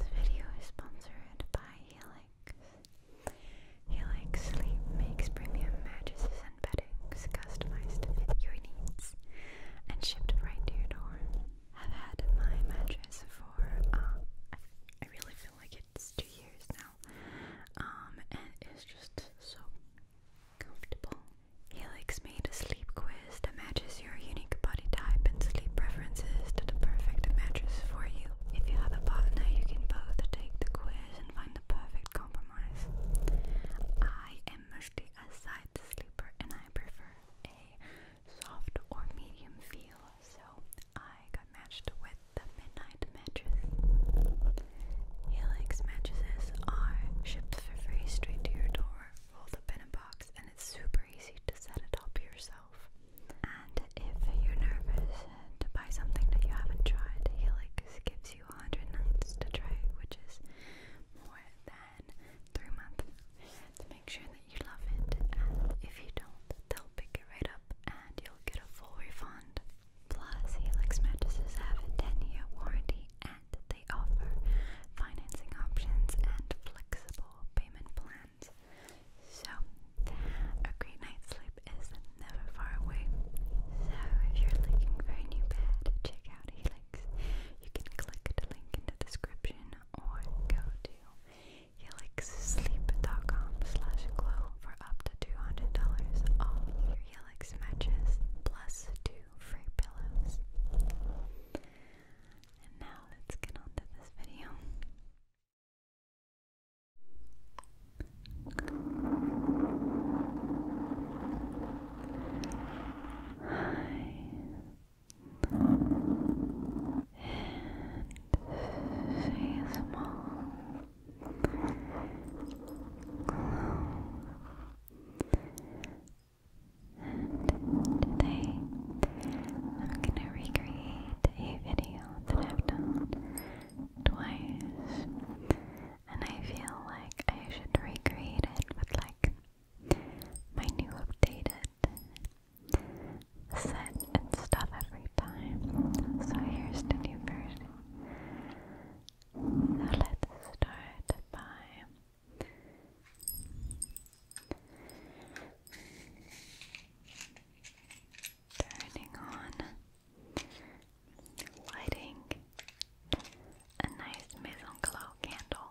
This video is sponsored by Helix. Helix Sleep makes premium mattresses and beddings customized to your needs and shipped right to your door. I've had my mattress for, um, I really feel like it's two years now, um, and it's just so comfortable. Helix made a sleep quiz that matches your unique body type and sleep preferences to the perfect mattress for you. If you have a partner, you can both take the quiz and find the perfect compromise. I am mostly a side sleeper and I prefer a soft or medium feel, so I got matched with the Midnight Mattress. Helix mattresses are shipped for free straight to your door, rolled up in a box, and it's super super easy to set it up yourself. And if you're nervous to buy something that you haven't tried, Helix gives you 100 nights to try, which is more than three months to make sure that you love it. And if you don't, they'll pick it right up and you'll get a full refund. Plus, Helix mattresses have a 10-year warranty and they offer financing options and flexible payment plans hands. So, a great night's sleep is never far away. So, if you're looking for a new bed, check out Helix. You can click the link in the description or go to helixsleep.com slash glow for up to $200 off your Helix matches plus two free pillows. And now let's get on to this video. Hi. And she small today I'm gonna recreate a video that I've done twice and I feel like I should recreate it with like my new updated set and stuff every time. So here's the new version. So let's start by Turning on lighting a nice maison glow candle.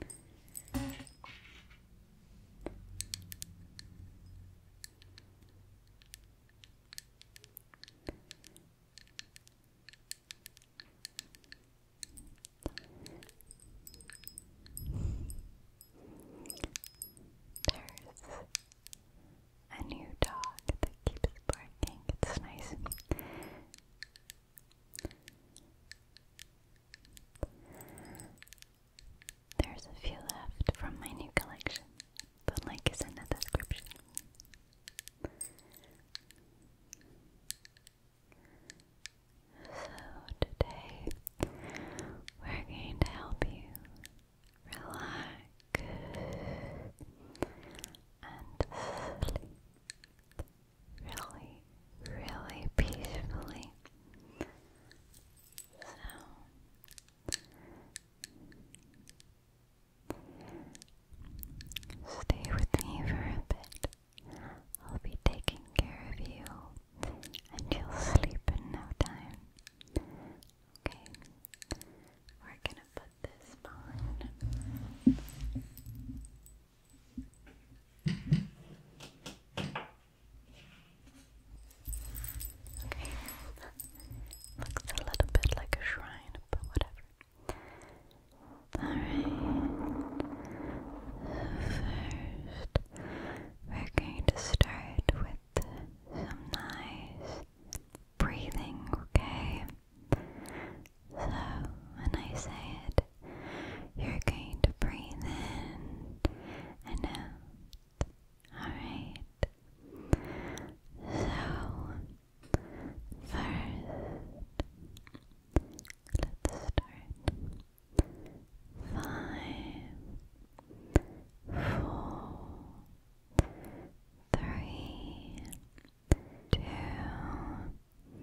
There's a new dog that keeps barking. It's nice. There's a few left from my new collection. The link is in the description. So, today we're going to help you relax and sleep really, really peacefully stay with me for a bit. I'll be taking care of you and you'll sleep in no time. Okay. We're gonna put this on. Okay. Looks a little bit like a shrine, but whatever. Alright. First, we're going to start with some nice breathing, okay? So, when I say it, you're going to breathe in and out. Alright. So, first, let's start. Five, four, three, two, one.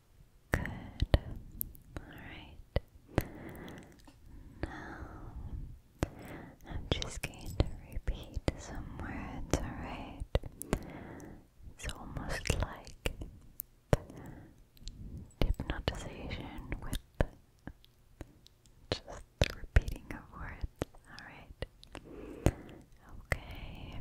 Good. Alright. Now, I'm just going to repeat some words, alright? It's almost like hypnotization with just the repeating of words, alright? Okay.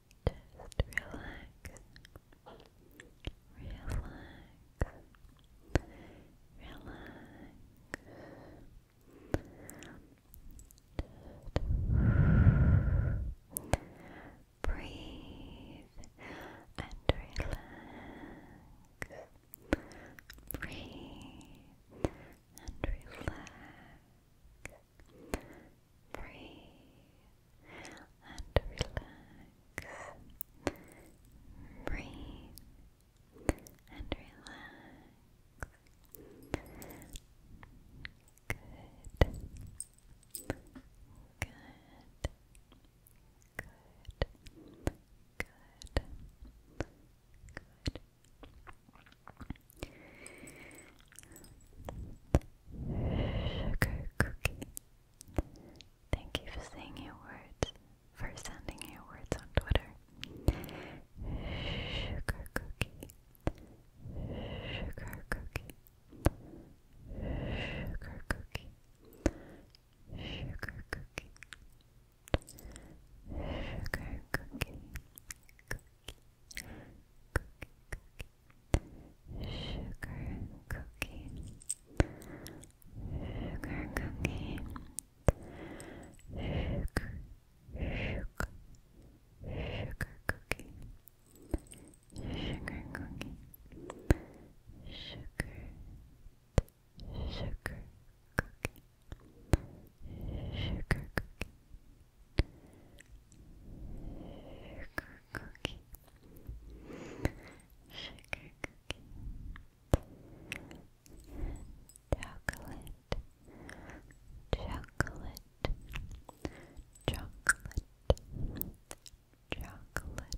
Just relax, relax, relax. breathe and relax. Breathe and relax free and relax. Breathe and relax. Good. Good. Good. Good. Good. Sugar cookie. Thank you for saying your words, for sending your words on Twitter. Sugar cookie. Sugar cookie. Sugar cookie. Sugar cookie. Sugar cookie. Cookie. Cookie. Cookie sugar cookie, sugar cookie, sugar, sugar, sugar cookie, sugar cookie, sugar, sugar cookie, sugar cookie. Sugar cookie, cookie. cookie. Chocolate. Chocolate. Chocolate. Chocolate. Chocolate.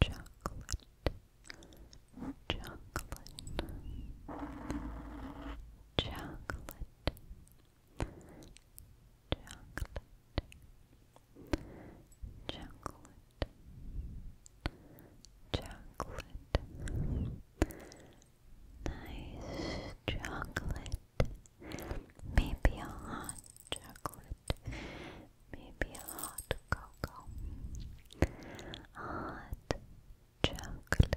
Chocolate. Chocolate chocolate, chocolate, chocolate, nice chocolate, maybe a hot chocolate, maybe a hot cocoa, hot chocolate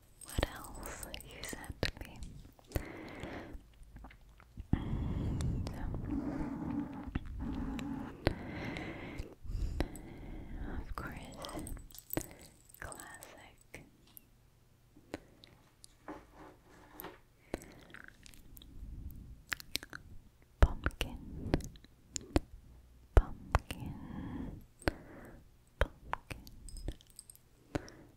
what else you said me. of course, classic. Pumpkin, pumpkin, pumpkin,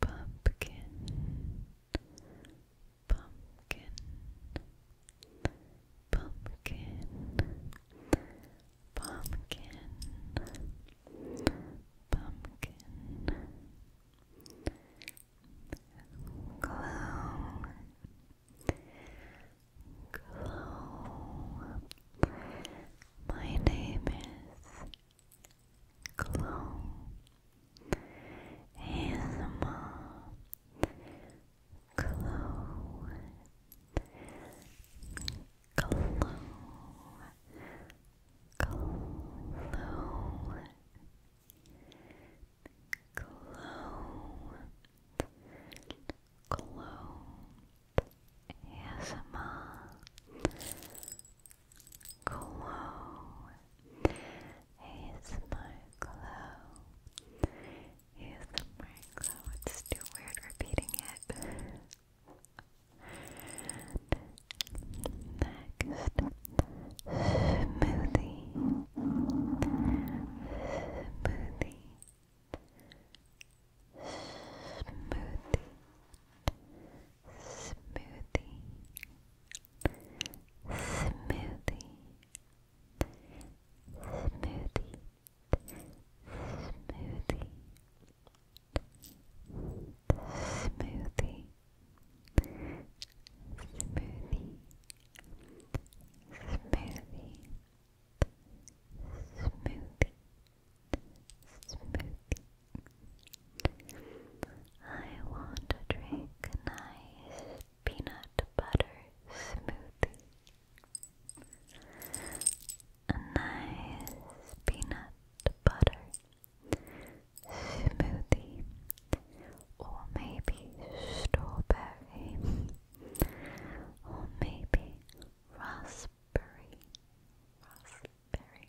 pumpkin, pumpkin, pumpkin, pumpkin, pumpkin, glow, glow. My name is Clone ASMR Glow Glow Glow Glow Glow ASMR glow. ASMR glow. ASMR glow. It's too weird repeating it. Next, smoothie. Smoothie. Smoothie, smoothie, smoothie, smoothie, smoothie, smoothie, smoothie. Smoothie, smoothie, smoothie, I want to drink nice peanut butter smoothie. A nice peanut butter smoothie. Or maybe strawberry. Or maybe raspberry. Raspberry.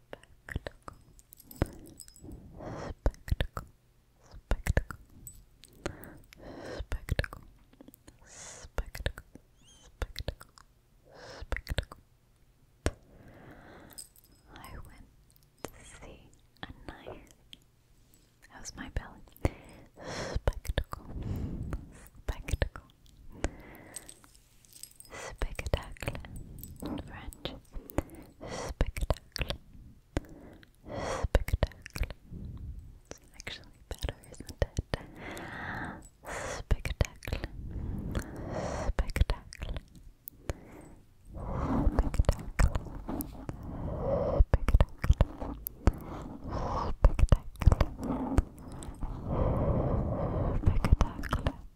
spectacle, spectacle, spectacle, spectacle, spectacle, spectacle, I went to see a nice. How's my belly? Spectacle, spectacle, spectacle in French spectacle spectacle it's actually better isn't it spectacle spectacle spectacle spectacle spectacle spectacle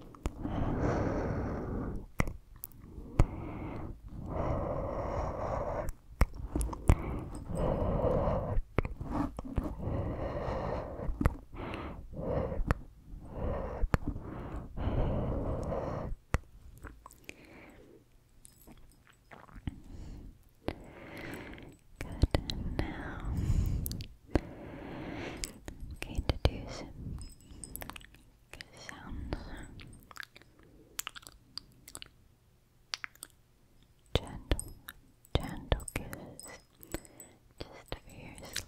Good. And now Okay, to sounds. Gentle, gentle kisses just for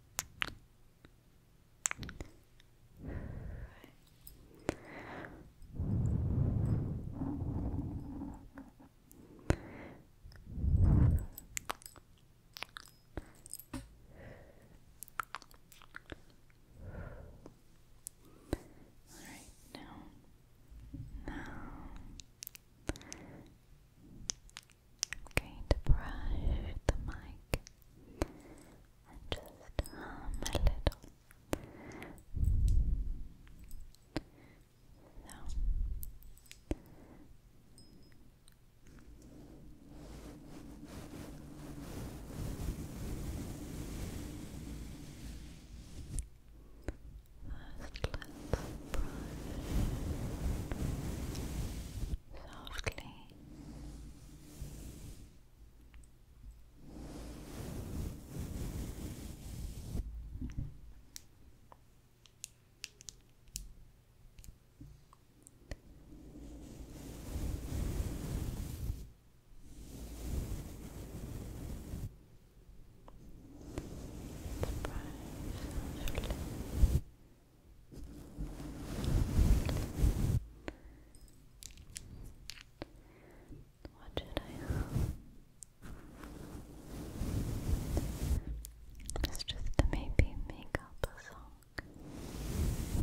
All right, now, now, I'm going to brush the mic and just hum a little. So. Firstly, brush softly. Brush softly. What should I have? just maybe make up a song.